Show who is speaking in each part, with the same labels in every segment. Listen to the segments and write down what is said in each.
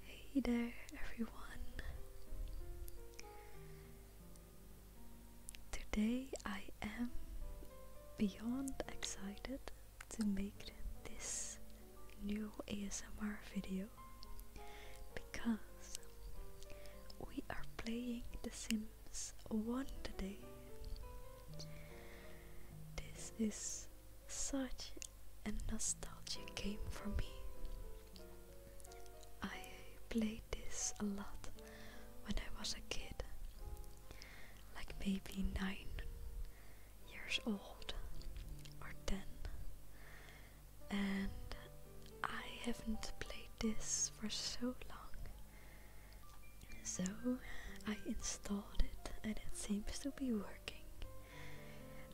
Speaker 1: Hey there, everyone. Today I am beyond excited to make this new ASMR video because we are playing The Sims 1 today. This is such and nostalgia came for me. I played this a lot when I was a kid, like maybe 9 years old or 10, and I haven't played this for so long. So I installed it, and it seems to be working.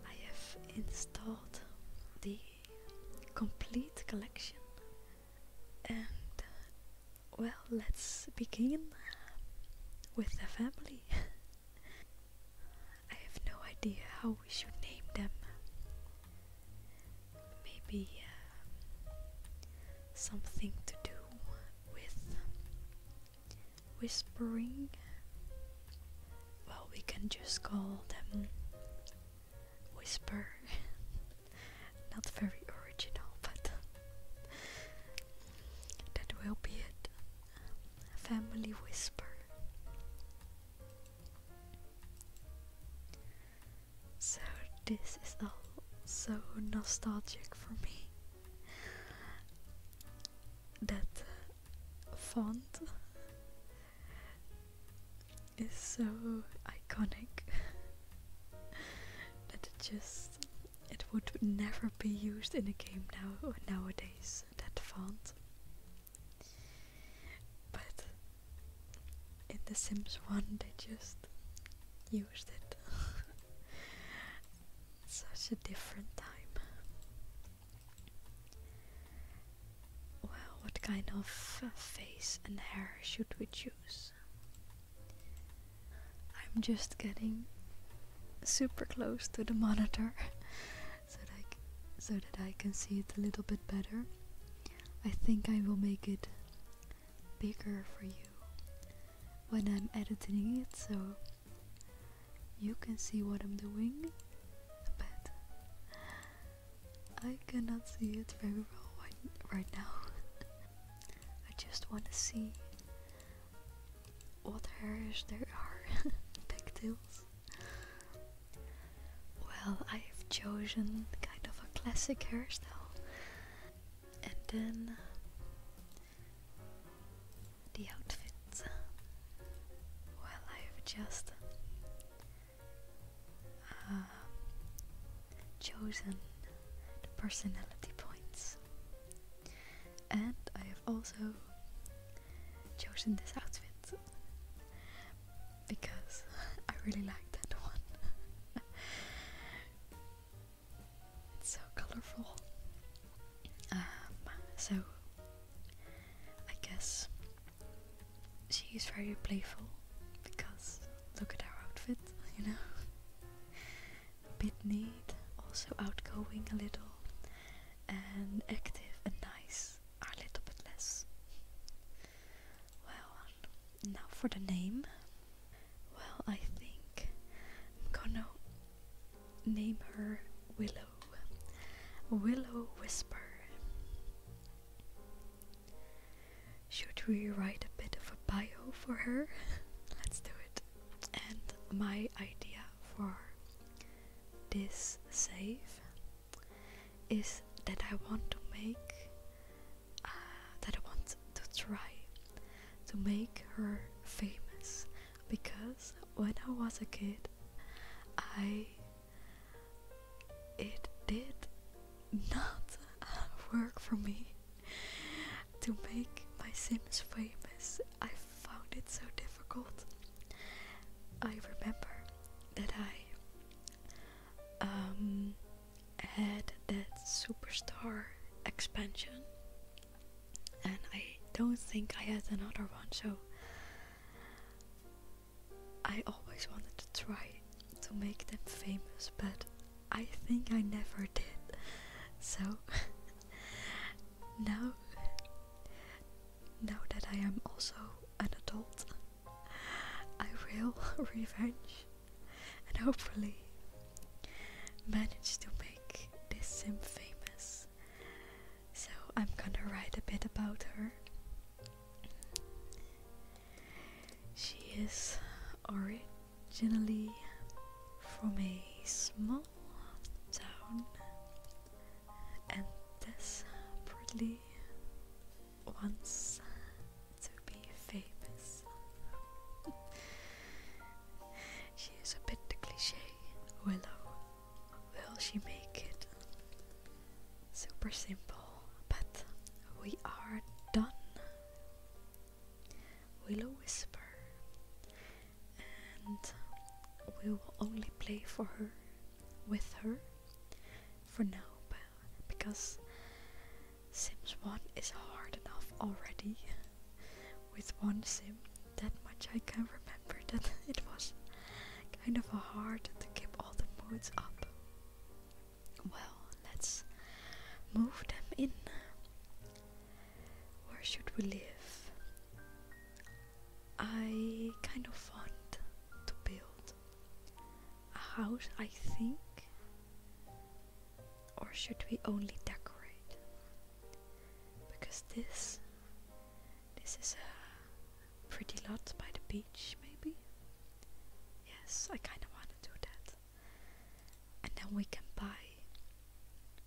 Speaker 1: I have installed the complete collection and uh, well let's begin with the family. I have no idea how we should name them. Maybe uh, something to do with whispering well we can just call them whisper not very original but that will be it family whisper so this is all so nostalgic for me that uh, font is so iconic that it just it would never be used in a game now nowadays that font but in the sims 1 they just used it Such a different time. Well, what kind of face and hair should we choose? I'm just getting super close to the monitor so, that so that I can see it a little bit better. I think I will make it bigger for you when I'm editing it so you can see what I'm doing, but I cannot see it very well right, now. I just want to see what hairs there are, pigtails. Well, I've chosen kind of a classic hairstyle, and then the outfits. Well, I've just uh, chosen the personality points and I have also chosen this outfit because I really like that one so colorful. Um, so I guess she's very playful because look at her outfit, you know. a bit neat, also outgoing a little, and active and nice are a little bit less. Well, now for the name. Well, I think I'm gonna Name her Willow. Willow Whisper. Should we write a bit of a bio for her? Let's do it. And my idea for this save is that I want to make uh, that I want to try to make her famous because when I was a kid, I it did not work for me to make my Sims famous. I found it so difficult. I remember that I um, had that superstar expansion and I don't think I had another one, so I always wanted to try to make them famous, but I think I never did. So now, now that I am also an adult, I will revenge and hopefully manage to make this sim famous. So I'm gonna write a bit about her. She is originally from a small town and desperately wants to be famous she is a bit the cliche. Willow, oh, will she make it? Super simple, but we are done. Willow Whisper, and we will only play for her with her for now because Sims 1 is hard enough already with one sim that much I can remember that it was kind of hard to keep all the moods up. Well, let's move them in. Where should we live? I kind of want to build a house, I think. Or should we only decorate? because this this is a pretty lot by the beach maybe yes I kinda wanna do that and then we can buy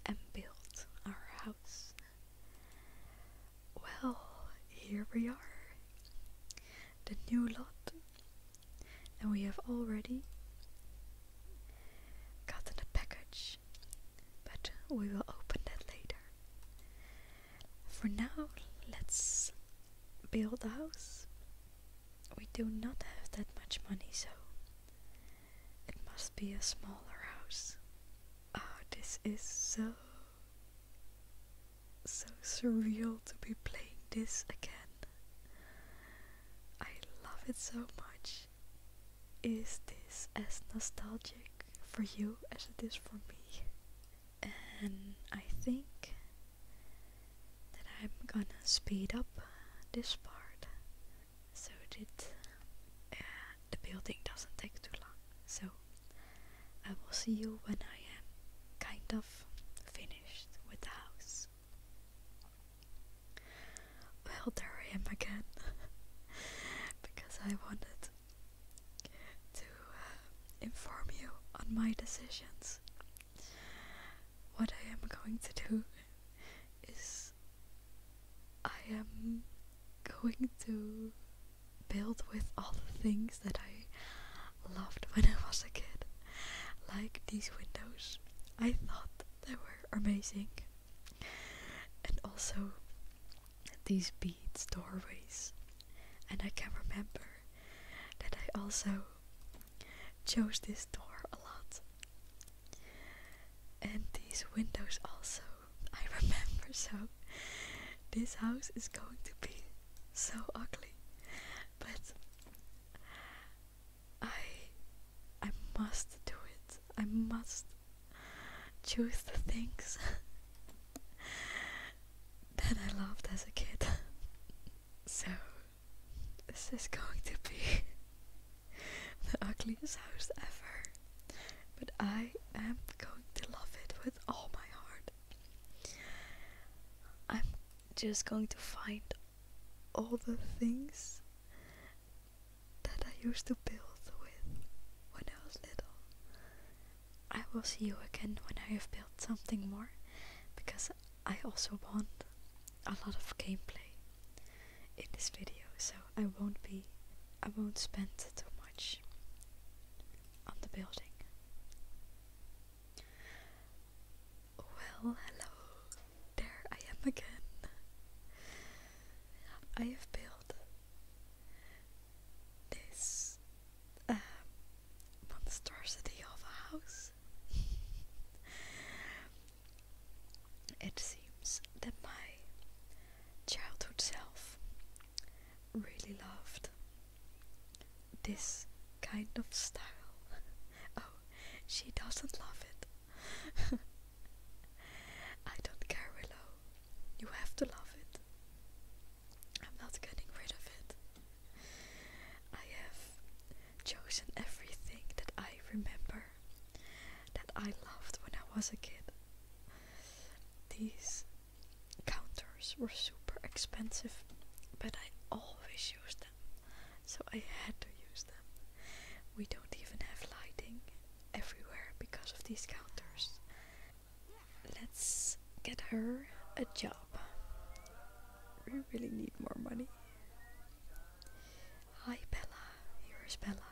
Speaker 1: and build our house well here we are the new lot and we have already gotten a package but we will open that later. For now, let's build a house. We do not have that much money, so it must be a smaller house. Oh, this is so, so surreal to be playing this again. I love it so much is this as nostalgic for you as it is for me? And I think that I'm gonna speed up this part so that uh, the building doesn't take too long. So I will see you when I am kind of finished with the house. Well, there I am again because I wanted to uh, inform you on my decisions. What I am going to do is I am going to build with all the things that I loved when I was a kid, like these windows. I thought they were amazing. And also these beads doorways. And I can remember that I also chose this door a lot. And these windows also, I remember so. This house is going to be so ugly. But I I must do it. I must choose the things that I loved as a kid. so, this is going to be the ugliest house ever. But I am going to love it with all my heart. I'm just going to find all the things that I used to build with when I was little. I will see you again when I have built something more because I also want a lot of gameplay in this video so I won't be I won't spend too much on the building. Well, hello. There I am again. I have built this um, monstrosity of a house. it seems that my childhood self really loved this kind of style. oh, she doesn't love it. I don't care, Willow. You have to love it. I'm not getting rid of it. I have chosen everything that I remember, that I loved when I was a kid. These counters were super expensive, but I always used them, so I had to use them. We don't even have lighting everywhere because of these counters. Let's get her a job. We really need more money. Hi Bella, here is Bella.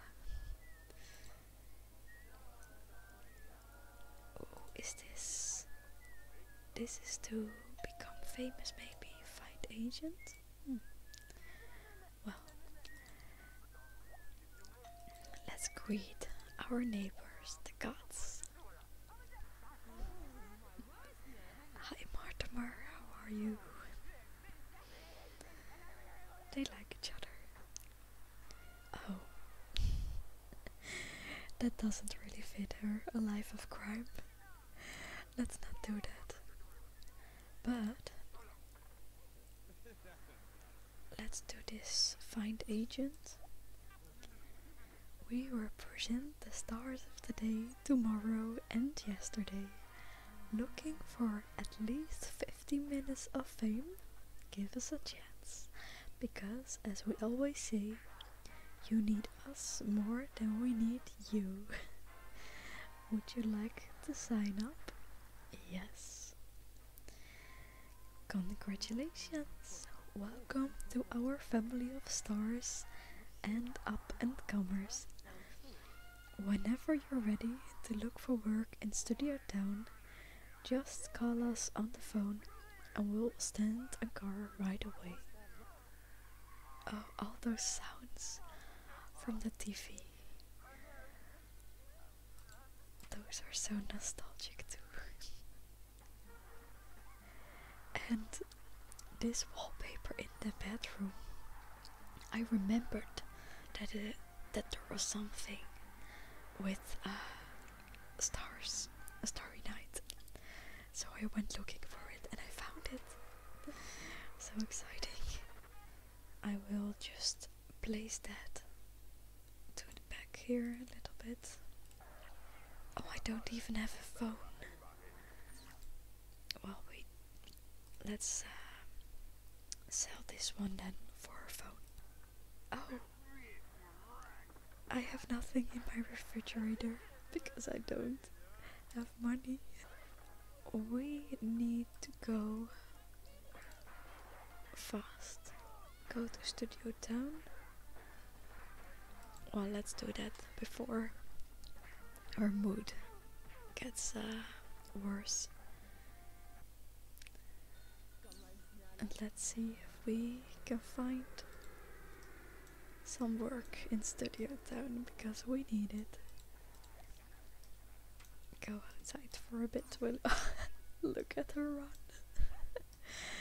Speaker 1: Oh, is this? This is to become famous maybe, fight agent? Hmm. Well, let's greet our neighbors, the gods. Hi, Mortimer, how are you? They like each other. Oh. that doesn't really fit her, a life of crime. Let's not do that. But Let's do this find agent. We represent the stars of today, tomorrow, and yesterday. Looking for at least 50 minutes of fame? Give us a chance. Because, as we always say, you need us more than we need you. Would you like to sign up? Yes. Congratulations! Welcome to our family of stars and up and comers. Whenever you're ready to look for work in Studio Town, just call us on the phone and we'll send a car right away. Oh, all those sounds from the TV. Those are so nostalgic too. and this wallpaper in the bedroom, I remembered that that there was something with uh, stars, a starry night. So I went looking for it and I found it. so exciting. I will just place that to the back here a little bit. Oh, I don't even have a phone. Well, we let's uh, sell this one then for a phone. Oh, I have nothing in my refrigerator because I don't have money we need to go fast. Go to Studio Town. Well, let's do that before our mood gets uh, worse. And let's see if we can find some work in Studio Town because we need it go outside for a bit. We'll look at her run.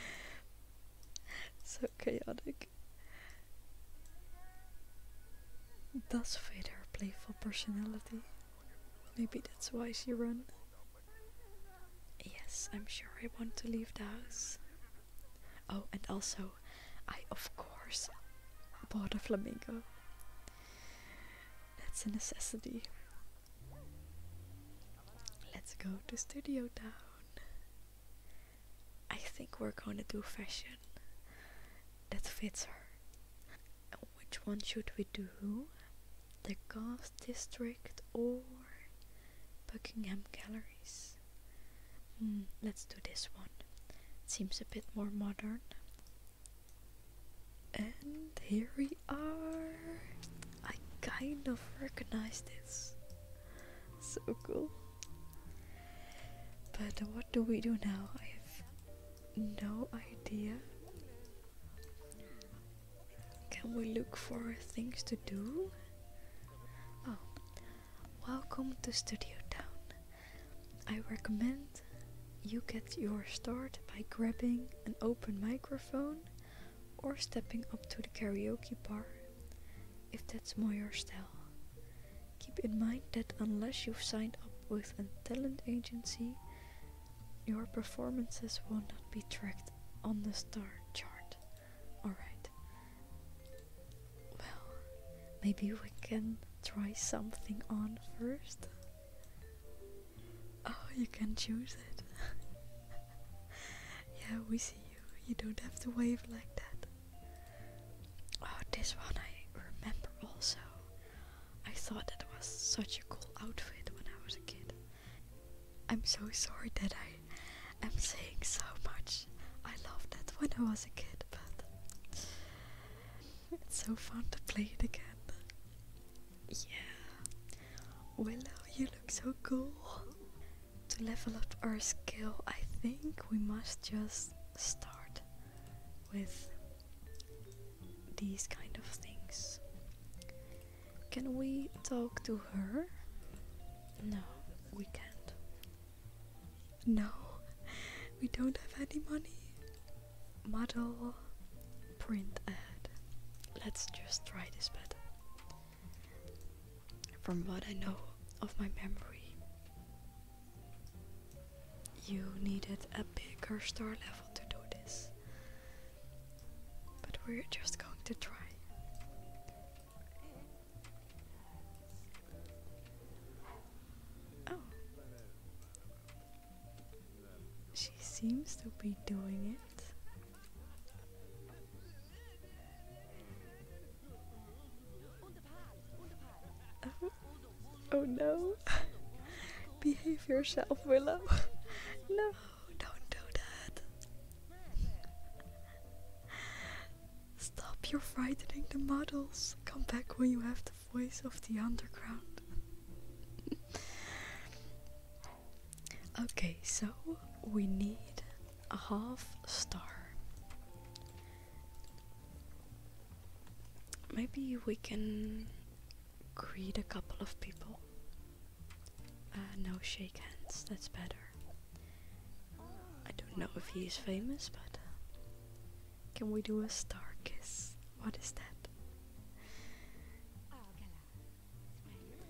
Speaker 1: so chaotic. Does fit her playful personality. Maybe that's why she run. Yes, I'm sure I want to leave the house. Oh, and also, I of course bought a flamingo. That's a necessity. Let's go to Studio Town. I think we're gonna do fashion that fits her. which one should we do? The Goth District or Buckingham Galleries? Mm, let's do this one. It seems a bit more modern. And here we are. I kind of recognize this. So cool. But what do we do now? I have no idea. Can we look for things to do? Oh, welcome to Studio Town. I recommend you get your start by grabbing an open microphone or stepping up to the karaoke bar if that's more your style. Keep in mind that unless you've signed up with a talent agency, your performances will not be tracked on the star chart. Alright. Well, maybe we can try something on first. Oh, you can choose it. yeah, we see you. You don't have to wave like that. Oh, this one I remember also. I thought that was such a cool outfit when I was a kid. I'm so sorry that I am saying so much. I loved that when I was a kid, but it's so fun to play it again. Yeah. Willow, you look so cool. To level up our skill, I think we must just start with these kind of things. Can we talk to her? No, we can't. No, we don't have any money model print ad. Let's just try this better. From what I know of my memory, you needed a bigger star level to do this. But we're just going to try. Oh. She seems to be doing it. Oh, oh no. Behave yourself, Willow. no, don't do that. Stop, you're frightening the models. Come back when you have voice of the underground. okay, so we need a half star. Maybe we can greet a couple of people. Uh, no shake hands, that's better. I don't know if he is famous, but can we do a star kiss? What is that?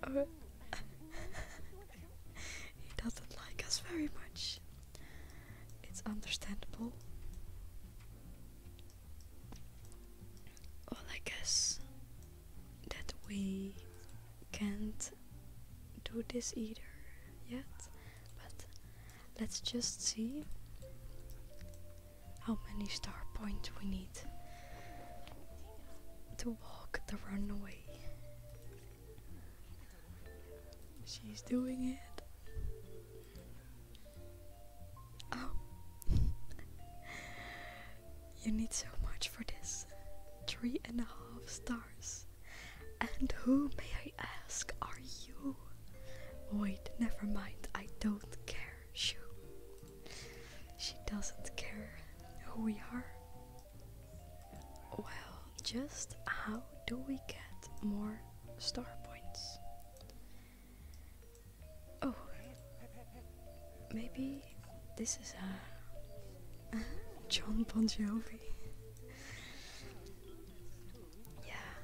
Speaker 1: Uh, he doesn't like us very much. It's understandable. Well, I guess that we can't do this either yet, but let's just see how many star points we need to walk the runway. She's doing it. Oh. you need so much for this. Three and a half stars. And who, may I ask, are you? Wait, never mind. I don't care. She doesn't care who we are. Well, just how do we get more star points? Oh, maybe this is a John Bon Jovi. yeah,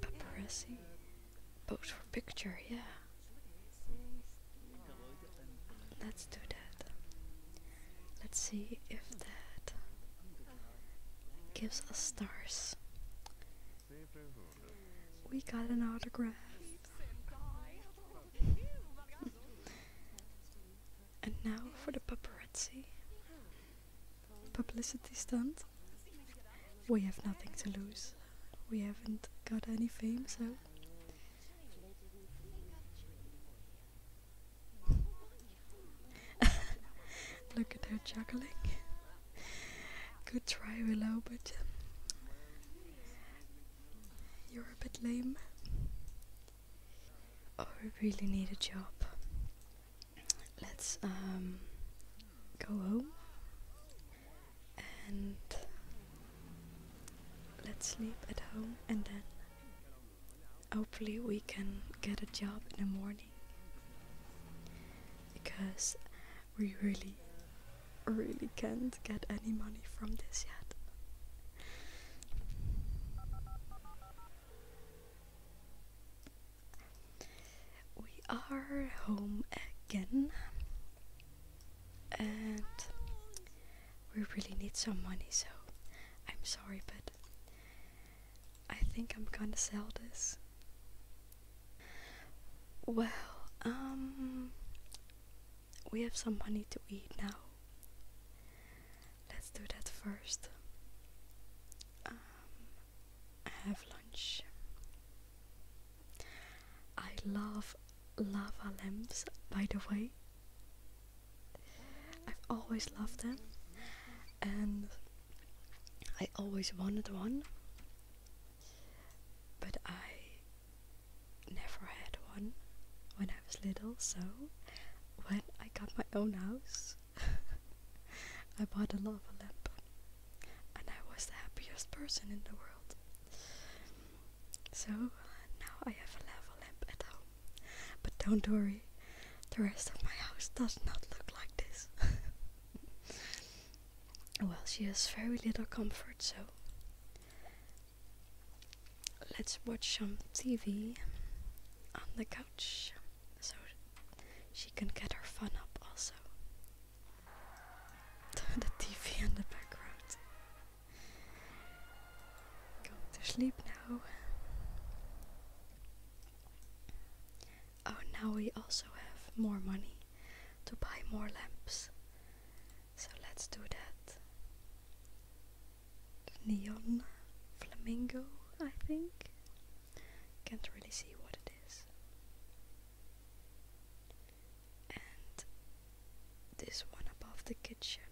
Speaker 1: paparazzi. Pose for picture, yeah. Let's do that. Let's see if that gives us stars. We got an autograph. and now for the paparazzi publicity stunt. We have nothing to lose. We haven't got any fame, so. Look at her juggling. Good try, Willow, but um, you're a bit lame. Oh, I really need a job let's um, go home and let's sleep at home and then hopefully we can get a job in the morning because we really really can't get any money from this yet we are home again, and we really need some money, so I'm sorry, but I think I'm gonna sell this. Well, um, we have some money to eat now. Let's do that first. Um, have lunch. I love lava lamps, by the way. I've always loved them, and I always wanted one, but I never had one when I was little, so when I got my own house, I bought a lava lamp, and I was the happiest person in the world. So now I have a lava lamp at home. But don't worry, the rest of my house does not look like this. well, she has very little comfort, so let's watch some TV on the couch. So she can get her fun up also. the TV in the background. Going to sleep now. Oh, now we also have more money to buy more lamps. So let's do that. neon flamingo, I think. Can't really see what it is. And this one above the kitchen.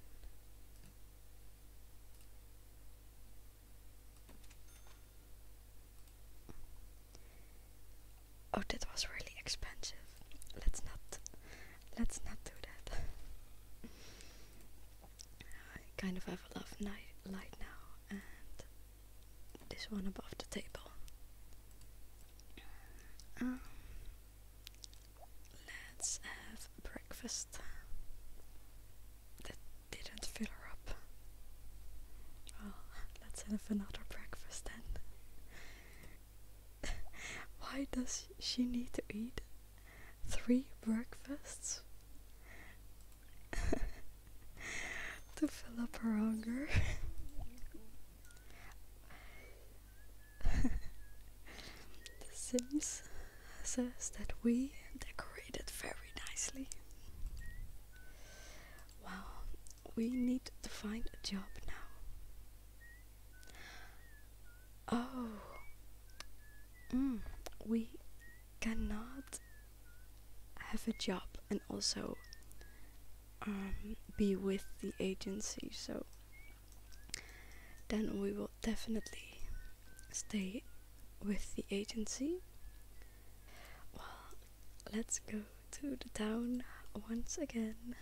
Speaker 1: Oh, that was really expensive. Let's not let's not do that. I kind of have a love night light now and this one above the table. Um, let's have breakfast. That didn't fill her up. Well, let's have another breakfast then. Why does she need to eat three breakfasts? to fill up her hunger. the Sims says that we decorated very nicely. Wow, we need to find a job now. Oh, mm, we cannot have a job and also um, be with the agency so then we will definitely stay with the agency well let's go to the town once again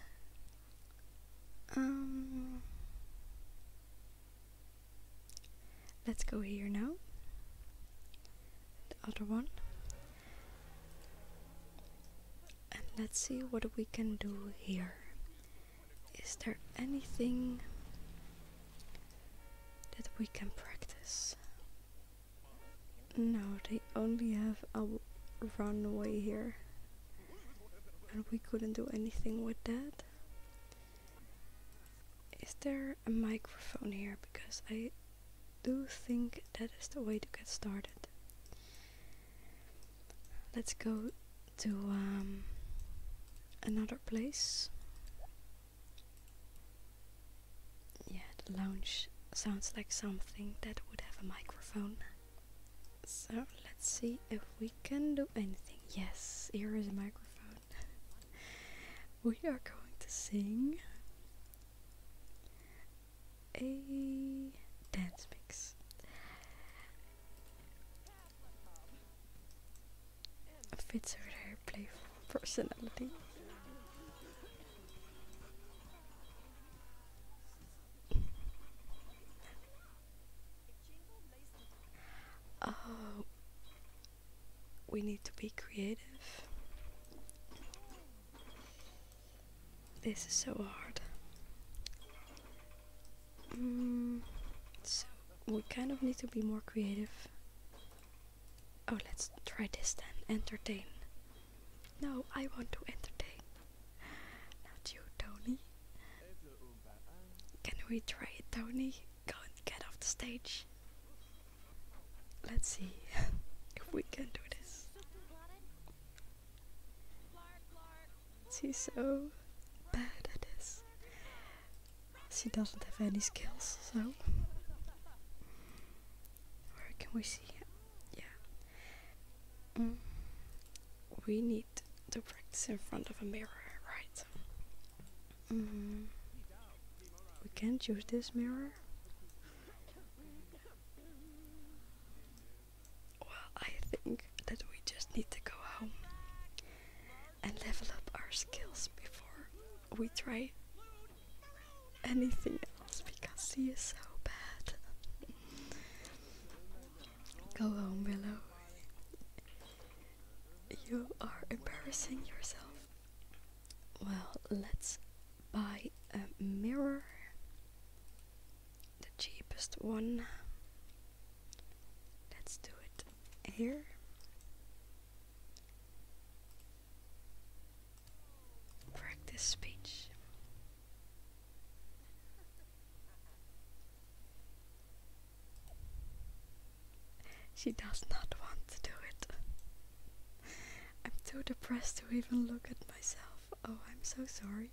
Speaker 1: um, let's go here now the other one and let's see what we can do here is there anything that we can practice no they only have a runway here and we couldn't do anything with that is there a microphone here because I do think that is the way to get started. Let's go to um, another place. Yeah, the lounge sounds like something that would have a microphone. So let's see if we can do anything. Yes, here is a microphone we are going to sing a dance mix. Fits her her playful personality. Oh, we need to be creative. This is so hard. Mm, so we kind of need to be more creative. Oh, let's try this then. Entertain. No, I want to entertain. Not you, Tony. Can we try it, Tony? Go and get off the stage. Let's see if we can do this. She's so bad at this. She doesn't have any skills, so. Where can we see? Yeah. Mm. We need to practice in front of a mirror, right? Mm. We can't use this mirror. Well, I think that we just need to go home and level up our skills before we try anything else because he is so bad. go home, Willow. You are embarrassing yourself. Well, let's buy a mirror. The cheapest one. Let's do it here. Practice speech. She does not want to do it. I'm too depressed to even look at myself. Oh, I'm so sorry.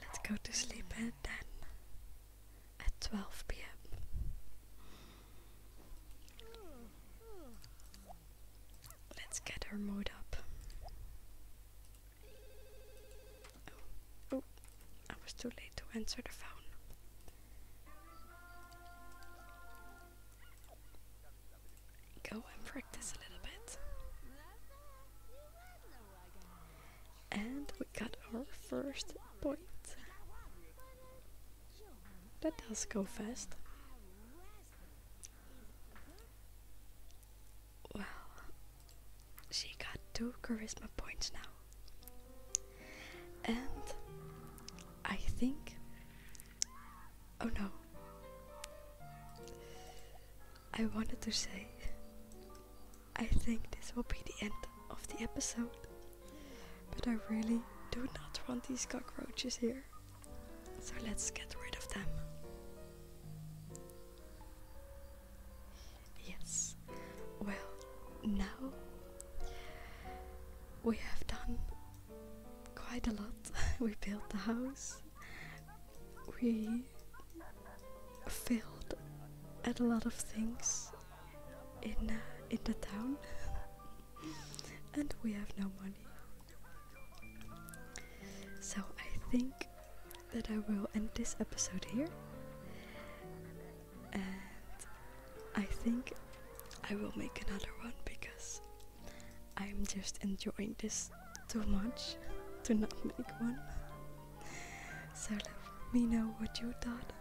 Speaker 1: Let's go to sleep at then at 12 p.m. Let's get her mood up. Oh, oh, I was too late to answer the phone. Go and practice a little bit. And we got our first point. That does go fast. Well, she got two charisma points now. And I think. Oh no. I wanted to say. I think this will be the end of the episode. But I really do not want these cockroaches here. So let's get rid of them. Yes. Well, now we have done quite a lot. we built the house. We failed at a lot of things in uh, in the town, and we have no money. So I think that I will end this episode here and I think I will make another one because I'm just enjoying this too much to not make one. So let me know what you thought.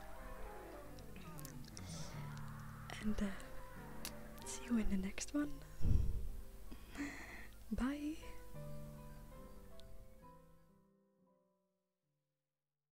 Speaker 1: And uh, see you in the next one. Bye.